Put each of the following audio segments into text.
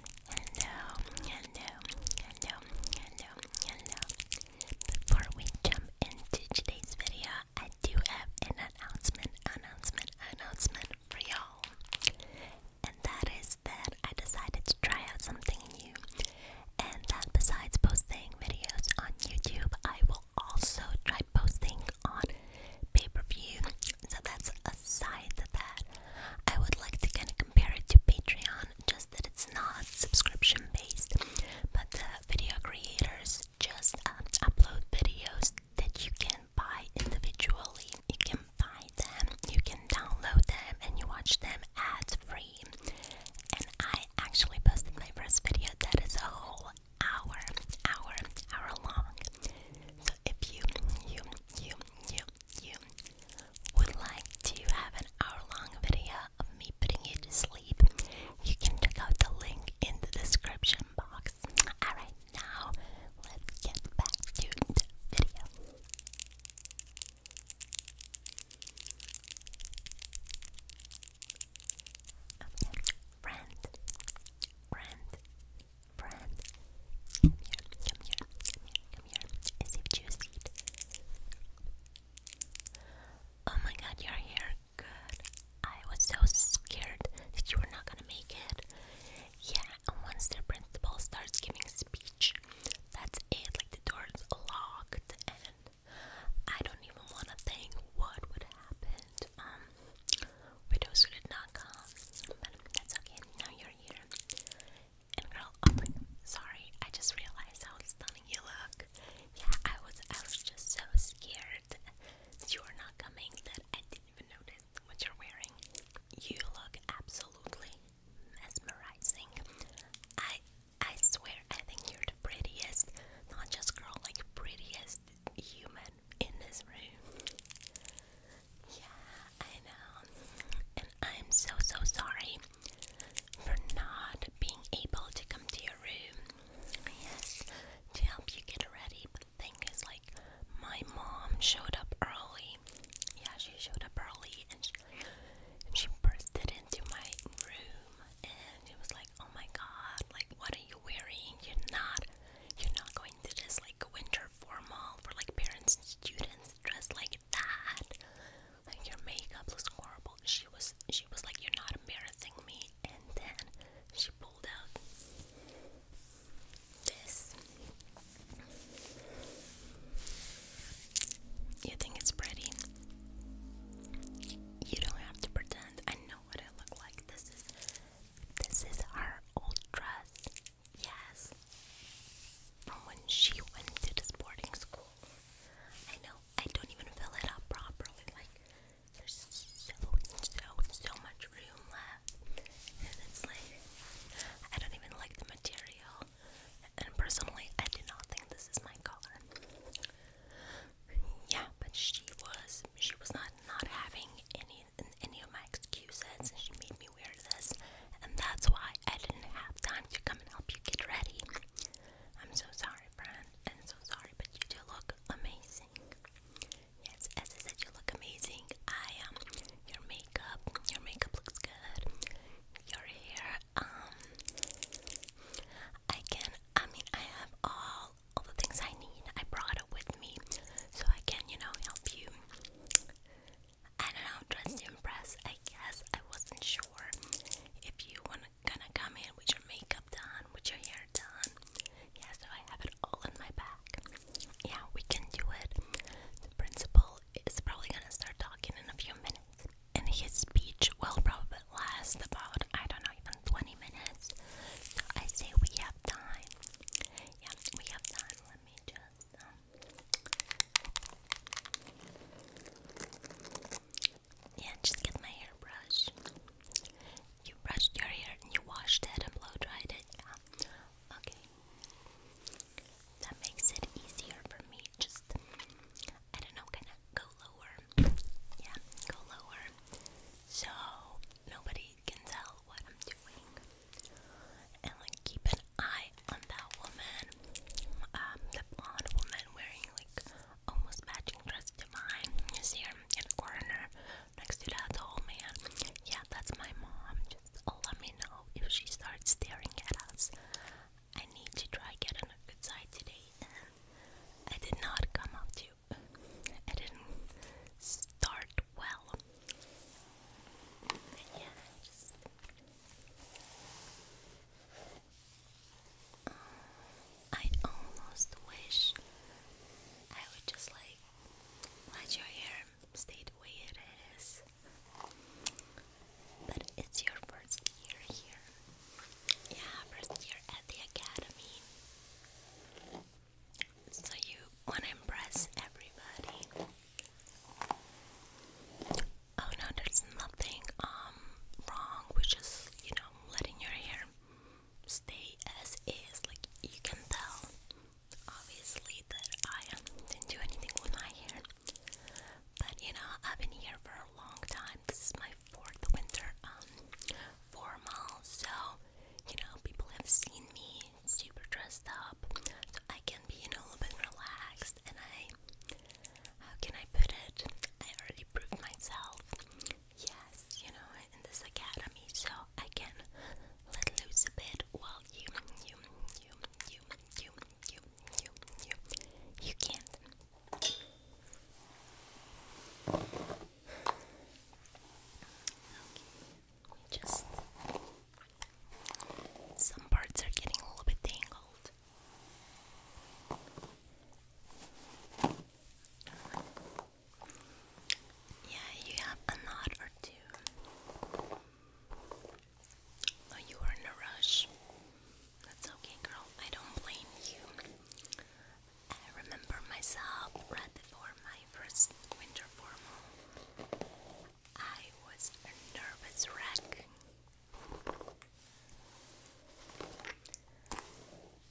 Hello, hello, hello, hello, hello. Before we jump into today's video, I do have an announcement, announcement, announcement for y'all. And that is that I decided to try out something new. And that besides posting videos on YouTube, I will also try posting on pay per view. So that's aside to that. I would like to kind of compare it to Patreon, just that it's not subscription based, but the video creators just um, upload videos that you can buy individually. You can find them, you can download them, and you watch them ad free. And I actually posted my first video that is a whole hour, hour, hour long if you, you, you, you, you would like to have an hour-long video of me putting you to sleep, you can check out the link in the description box. Alright, now let's get back to the video friend. Come here, come here, come here, come here. As if you see it. Oh my god, you're here. Good. I was so scared that you were not gonna make it. Yeah, and once the principal starts giving speech, that's it. Like the door's locked, and I don't even wanna think what would happen. Um, widows who did not come, but that's okay. Now you're here girl, i oh sorry, I just realized how stunning you look. Yeah, I was I was just so scared you were not coming that I didn't even notice what you're wearing. You look absolutely mesmerizing. I I swear I think you're the prettiest, not just girl, like prettiest human in this room. Yeah, I know. And I'm so, so sorry for not being able to come to your room. Yes, to help you get ready. the thing is, like, my mom showed up early. Yeah, she showed up early and she, she bursted into my room and it was like, oh my god, like, what are you wearing? You're not, you're not going to this, like, winter formal for, like, parents and students dressed like that. Like your makeup looks horrible. She was she was like you're not embarrassing me and then she pulled out this. You think it's pretty? You don't have to pretend. I know what I look like. This is this is our old dress. Yes. From when she went to the boarding school. I know, I don't even fill it up properly. Like, there's so, so, so much room left. And it's like, I don't even like the material. And personally, I do not think this is my color. Yeah, but she was, she was not not having any any of my excuses, and she made me me and that's why I didn't have time to come and help you get ready. I'm so sorry, friend, and so sorry, but you do look amazing. Yes, as I said, you look amazing. I um, your makeup, your makeup looks good. Your hair, um, I can. I mean, I have all all the things I need. I brought it with me, so I can, you know, help you I don't know, dressed to impress. I guess I wasn't sure if you wanna gonna come in with your makeup done, with your hair done. Yeah, so I have it all in my bag. Yeah, we can do it. The principal is probably gonna start talking in a few minutes, and his speech will probably last about I don't know, even 20 minutes. So I say we have time. Yeah, we have time. Let me just. Yeah, just get my hairbrush. You brushed your hair and you washed it and blow dried it. Yeah. Okay. That makes it easier for me. Just, I don't know, kind of go lower. Yeah, go lower. So nobody can tell what I'm doing and like keep an eye on that woman, um, the blonde woman wearing like almost matching dress to mine. You see in the corner next to that old man. Yeah, that's my mom. Just let me know if she starts staring at us. I need to try get on a good side today. I did not come up to. I didn't start well. Yeah, I almost wish I would just like let your hair stay the way it is. But it's your first year here. Yeah, first year at the academy. So you wanna impress everybody. Oh no, there's nothing um wrong with just, you know, letting your hair stay as is. Like you can tell obviously that I didn't do anything with my hair. But you know, I've been here for a long time. This is my fourth winter um formal, so you know, people have seen me super dressed up. So I can be, a little bit relaxed and I how can I put it? I already proved myself. Yes, you know, in this academy, so I can let loose a bit while you, you, you, you, you, you, you, you, you can't. Okay, let just some parts are getting a little bit tangled. Yeah, you have a knot or two. Oh, you were in a rush. That's okay, girl. I don't blame you. I remember myself right before my first winter formal. I was a nervous wreck.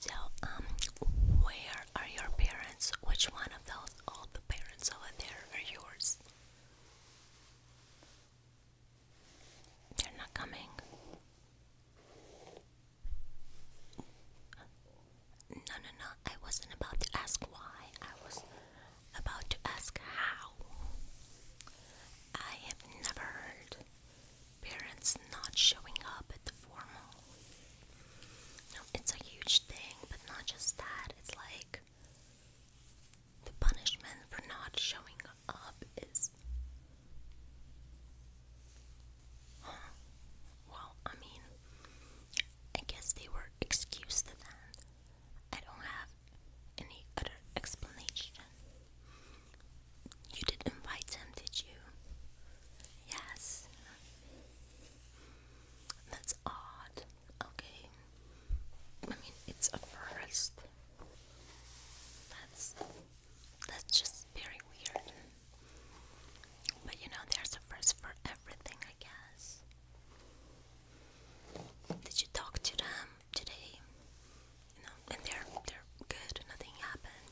So, um, where are your parents? Which one of those all the parents over there are yours? They're not coming. No, no, no. I wasn't about to ask why. I was about to ask how. I have never heard parents not showing up at the formal. it's a huge thing, but not just that. It's like the punishment for not showing up is. Well, I mean, I guess they were excused then. I don't have any other explanation. You did invite him, did you? Yes. That's odd. Okay. I mean, it's a first. That's that's just very weird. But you know, there's a first for everything, I guess. Did you talk to them? today. You know, and they're they're good. Nothing happened.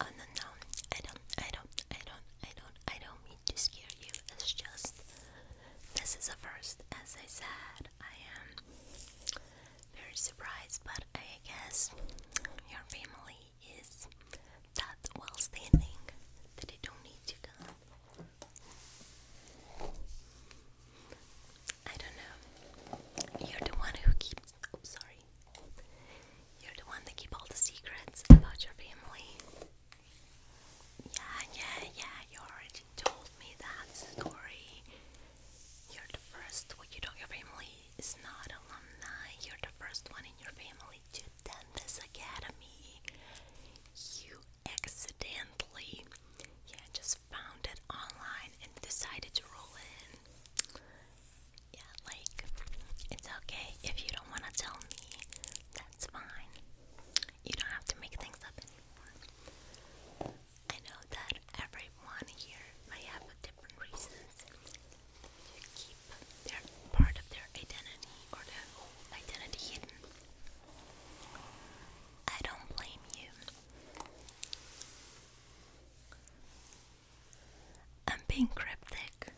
Oh no no! I don't I don't I don't I don't I don't mean to scare you. It's just this is a first. As I said, I am very surprised, but I guess your family is that well standing that they don't need to come. I don't know. You're the one who keeps. Oh, sorry. You're the one that keep all the secrets about your family. Yeah, yeah, yeah. You already told me that story. You're the first one. You know your family is not alumni. You're the first one in your family to attend this academy. You accidentally, yeah, just found it online and decided to roll in. Yeah, like, it's okay if you don't want to tell me, that's fine. You don't have to make things up anymore. I know that everyone here might have different reasons to keep their part of their identity or their whole identity hidden. I don't blame you. I'm being cryptic.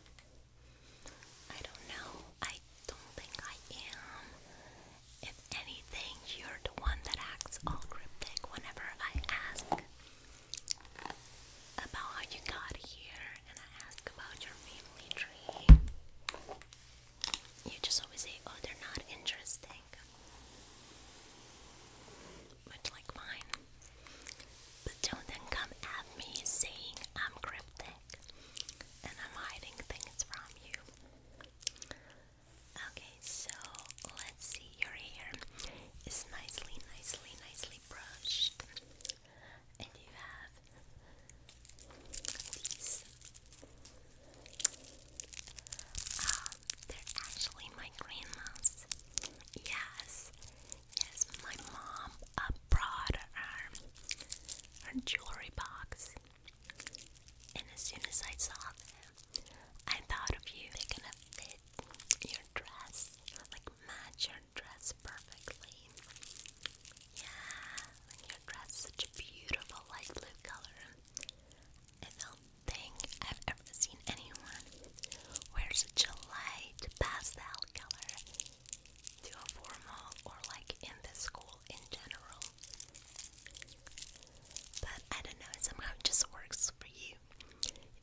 I don't know. I don't think I am. If anything, you're the one that acts all cryptic whenever I ask about how you got here and I ask about your family tree. You just always say, oh, they're not interesting. Much like mine. But don't then come at me saying I'm cryptic and I'm hiding things from you. Okay, so let's see. Your hair is nicely, nicely, nicely brushed. And you have um, they're actually my grandma's. Yes, yes, my mom uh, brought her, her jewelry box. And as soon as I saw them, I thought of you. They're gonna fit your dress, like match your dress perfectly. Yeah, your dress, such a beautiful light blue color. I don't think I've ever seen anyone wear such a light pastel color to a formal or like in the school in general. But I don't know, somehow it just works for you.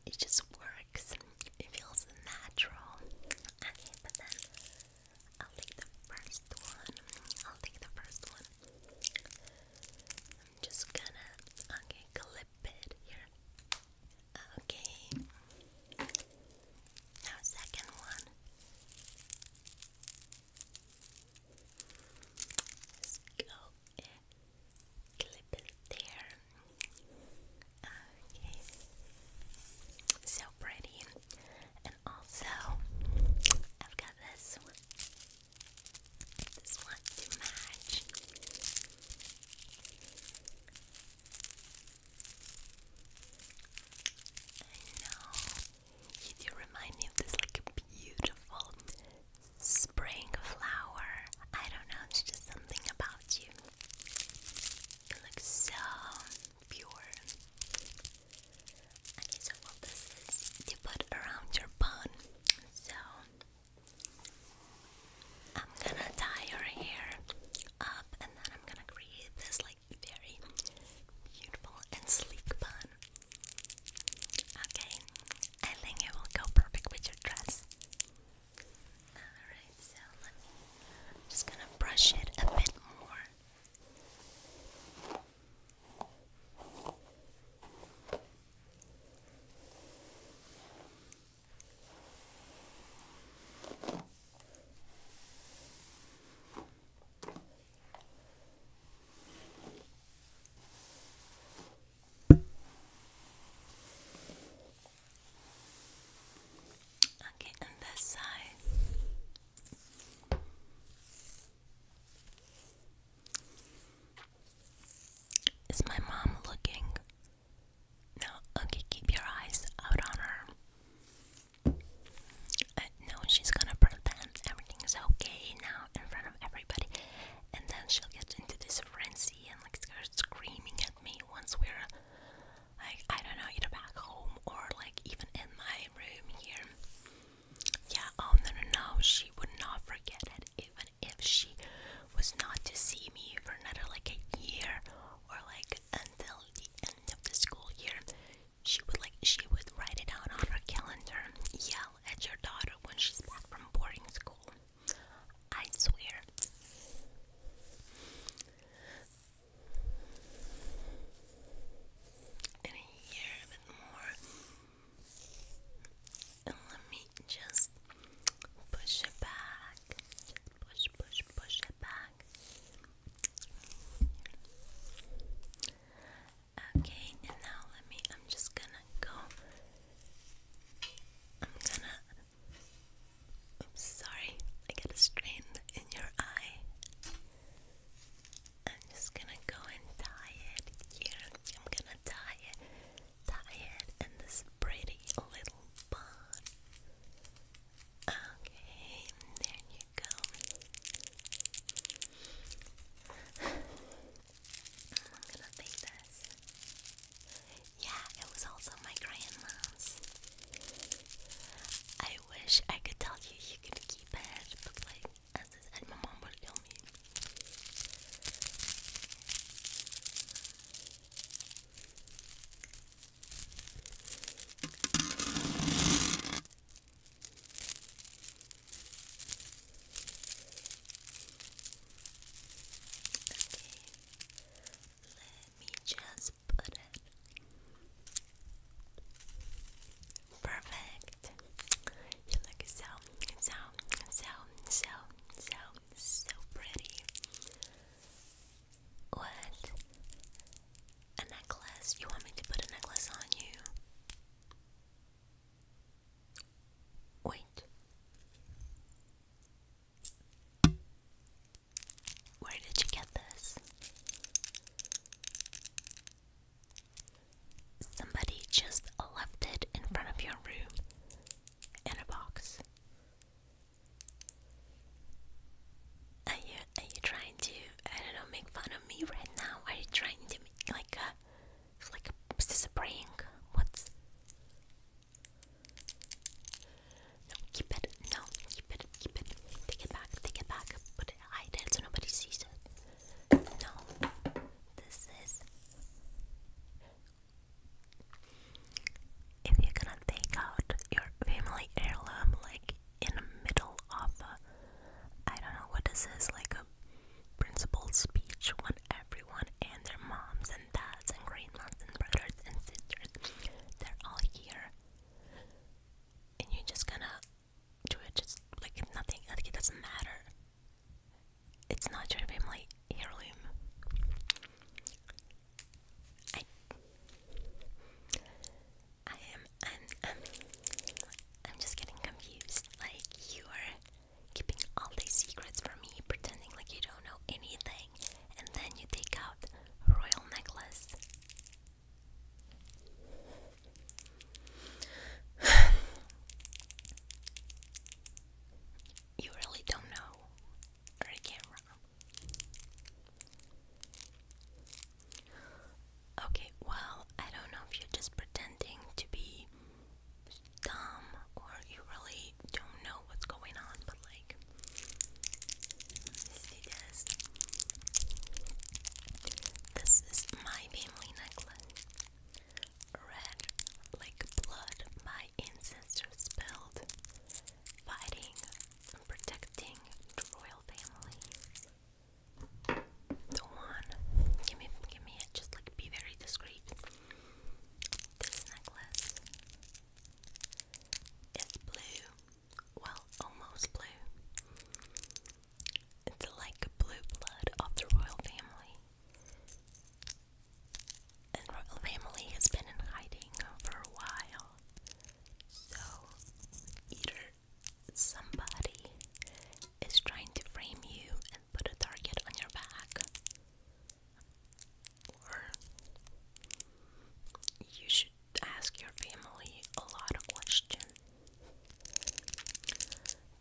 It just works. It feels natural. Okay, but then I'll take the first one. I'll take the first one. I'm just gonna okay clip it here. Okay. Now second one let go and clip it there. Okay. So pretty. And also I've got this one. This one to match. I know. You do me of this like beautiful spring flower. I don't know, it's just something about you. You look so pure Okay, so what this to put around your bone. So I'm gonna tie your hair up and then I'm gonna create this like very beautiful and sleek bun. Okay, I think it will go perfect with your dress. Alright, so just gonna brush it a bit more. Okay, and this side. Is my mom looking? No, okay, keep your eyes out on her. Uh, no, she's gonna pretend everything's okay now in front of everybody, and then she'll get into this frenzy and like start screaming at me once we're like, I don't know, either back home or like even in my room here. Yeah, oh no, no, no, she would not forget it even if she was not to see me for another like a year or like until the end of the school year. She would like, she would write it down on her calendar, yell at your daughter when she's back from boarding school. I swear. And a year, a more let me just push it back. Push, push, push it back. Okay, now let me, I'm just gonna go. I'm gonna. Oops, sorry. I get a strain in your eye. I'm just gonna go and dye it I'm gonna dye it, dye it in this pretty little bun. Okay, there you go. I'm gonna take this. Yeah, it was also my grandma's. I wish I could tell you you could keep it, but like and my mom would kill me. Okay, let me just put it perfect. You look so, so, so, so, so, so pretty. What? A necklace? You want me to put a necklace on you? Wait. Where did you get this? Somebody just left it in front of your room in a box. Are you are you trying to I don't know make fun of me right now? Are you trying to make like a like a, is this no keep it no keep it keep it take it back take it back put it hide it so nobody sees it. No, this is. If you're gonna take out your family heirloom, like in the middle of a, I don't know what this is, like a principal speech when everyone and their moms and dads and grandmas and brothers and sisters, they're all here. And you're just gonna do it just like nothing like it doesn't matter it's not your family heirloom I I am i um, I'm just getting confused like you are keeping all these secrets from me pretending like you don't know anything and then you take out royal necklace you really don't know the camera. Okay, well, I don't know if you're just pretending to be dumb or you really don't know what's going on, but like, see this? This is my family necklace. Red like blood, my ancestors spilled, fighting and protecting the royal family. The one, give me, give me it. Just like be very discreet. This necklace is blue. Well, almost blue. It's like blue blood of the royal family. And royal family has been in hiding for a while. So either somebody is trying to frame you and put a target on your back, or you should ask your family a lot of questions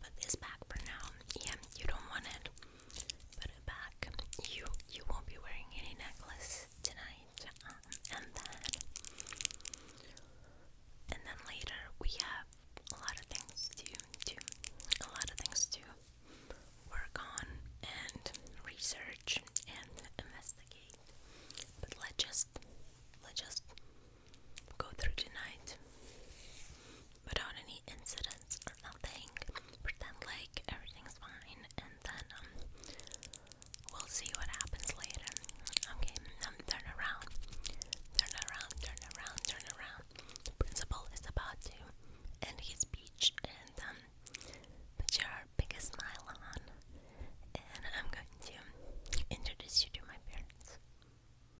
Put this back for now. Yeah, you don't want it. Put it back. You you won't be wearing any necklace tonight. Uh-uh. and then and then later we have a lot of things to do. A lot of things to work on and research and investigate. But let's just let's just go through tonight without any incidents or nothing. Pretend like everything's fine, and then um, we'll see what happens later. Okay, um, turn around, turn around, turn around, turn around. The principal is about to end his speech, and um, put your biggest smile on, and I'm going to introduce you to my parents.